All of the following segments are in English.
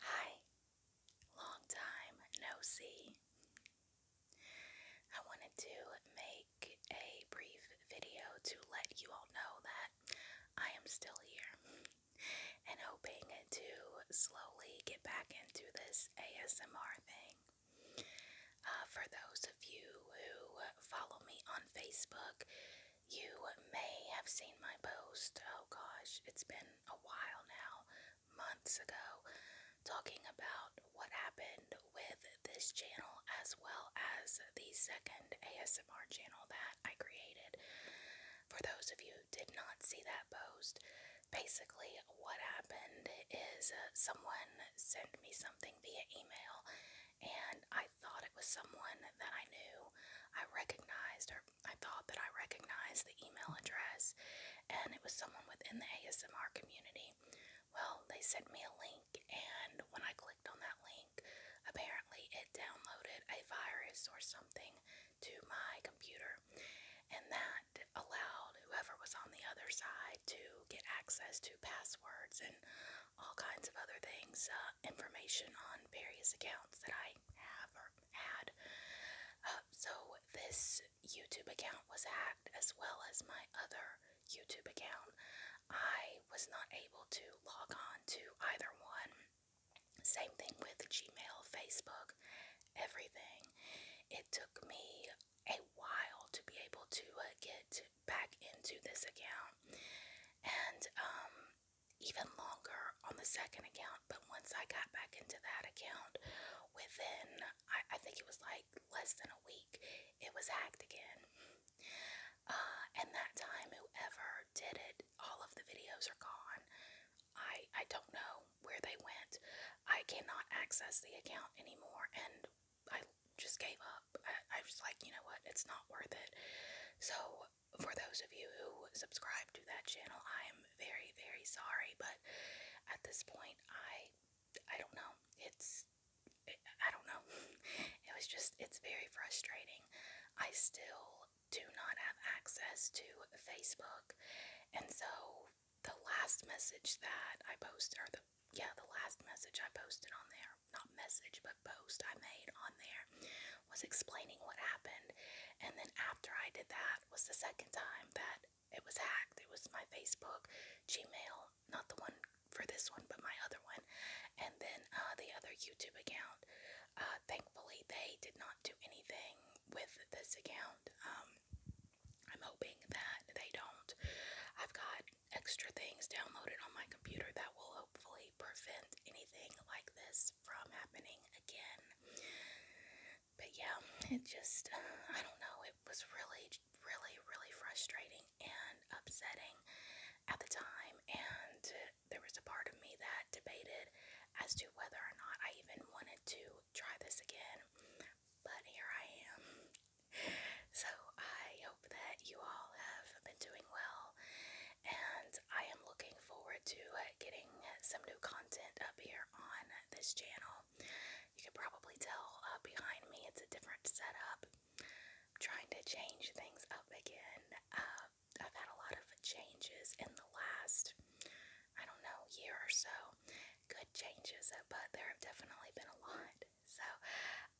Hi, long time no see. I wanted to make a brief video to let you all know that I am still here and hoping to slowly get back into this ASMR thing. Uh, for those of you who follow me on Facebook, you may have seen my post, oh gosh, it's been a while now, months ago, talking about what happened with this channel as well as the second ASMR channel that I created. For those of you did not see that post, basically what happened is uh, someone sent me something via email and I thought it was someone that I knew. I recognized, or I thought that I recognized the email address, and it was someone within the ASMR community. Well, they sent me a link, and when I clicked on that link, apparently it downloaded a virus or something to my computer, and that allowed whoever was on the other side to get access to passwords and all kinds of other things. Um, information on various accounts that I have or had. Uh, so, this YouTube account was hacked as well as my other YouTube account. I was not able to log on to either one. Same thing with Gmail, Facebook, everything. It took me a while to be able to uh, get back into this account and um, even longer on the second account but once I got back into that account within I, I think it was like less than a week it was hacked again uh, and that time whoever did it all of the videos are gone I I don't know where they went I cannot access the account anymore and I just gave up. I, I was like, you know what, it's not worth it. So, for those of you who subscribe to that channel, I am very, very sorry, but at this point, I, I don't know. It's, it, I don't know. It was just, it's very frustrating. I still do not have access to Facebook, and so the last message that I posted, or the yeah, the last message I posted on there, not message, but post I made on there, was explaining what happened. And then after I did that was the second time that it was hacked. It was my Facebook, Gmail, not the one for this one, but my other one, and then uh, the other YouTube account. Uh, thankfully, they did not do anything with this account. Um, I'm hoping that they don't. I've got extra things downloaded on my computer that will hopefully prevent anything like this from happening again. But yeah, it just, I don't know, it was really, really, really frustrating and upsetting at the time. And there was a part of me that debated as to whether or not I even wanted to try this again, but here I am. So I hope that you all have been doing well, and I am looking forward to uh, getting some new content up here on this channel. You can probably tell uh, behind me it's a different setup. trying to change things up again. Uh, I've had a lot of changes in the last I don't know, year or so, good changes, uh, but there have definitely been a lot. So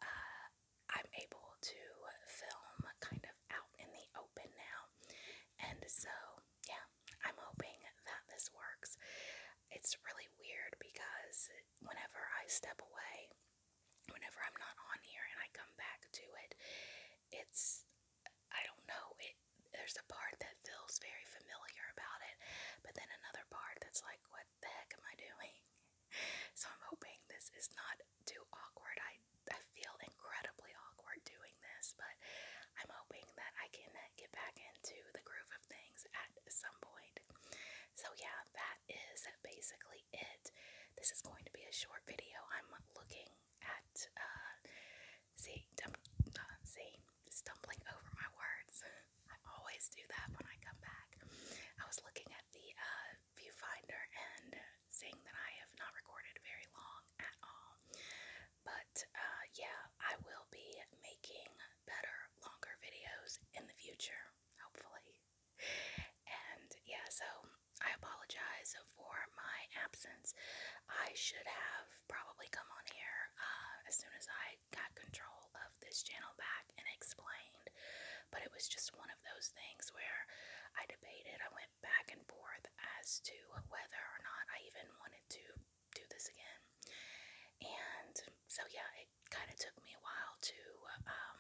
uh, I'm able to film kind of out in the open now. And so, yeah, I'm hoping that this works. It's really weird because whenever I step away, whenever I'm not on here and I come back to it, it's I don't know it there's a part that feels very familiar about it but then another part that's like what the heck am I doing so I'm hoping this is not too awkward I I feel incredibly awkward doing this but I'm hoping that I can get back into the groove of things at some point so yeah that is basically it this is going to be a short video I'm looking at uh, see, uh, see, stumbling over my words. I always do that when I come back. I was looking at the uh, viewfinder and seeing that I have not recorded very long at all. But uh, yeah, I will be making better, longer videos in the future, hopefully and yeah, so I apologize for my absence. I should have probably come on here uh, as soon as I got control of this channel back and explained, but it was just one of those things where I debated, I went back and forth as to whether or not I even wanted to do this again. And so, yeah, it kind of took me a while to um,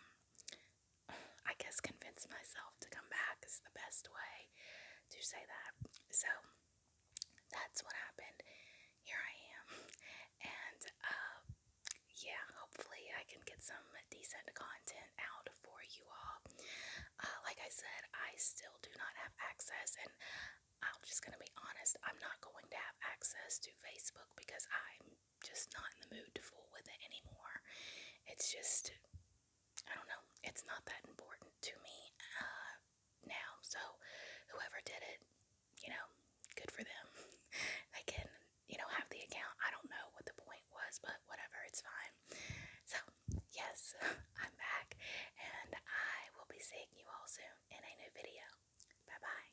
I guess convince myself to come back is the best way to say that. So that's what happened. Here I am. And uh yeah, hopefully I can get some decent content out for you all. Uh, like I said, I still do not have access and I'm just gonna be honest, I'm not going to have access to Facebook because I'm just not in the mood to fool with it anymore. It's just, I don't know, it's not that important to me uh, now. So, whoever did it, you know, good for them. they can, you know, have the account. I don't know what the point was, but whatever, it's fine. So, yes, I'm back, and I will be seeing you all soon in a new video. Bye bye.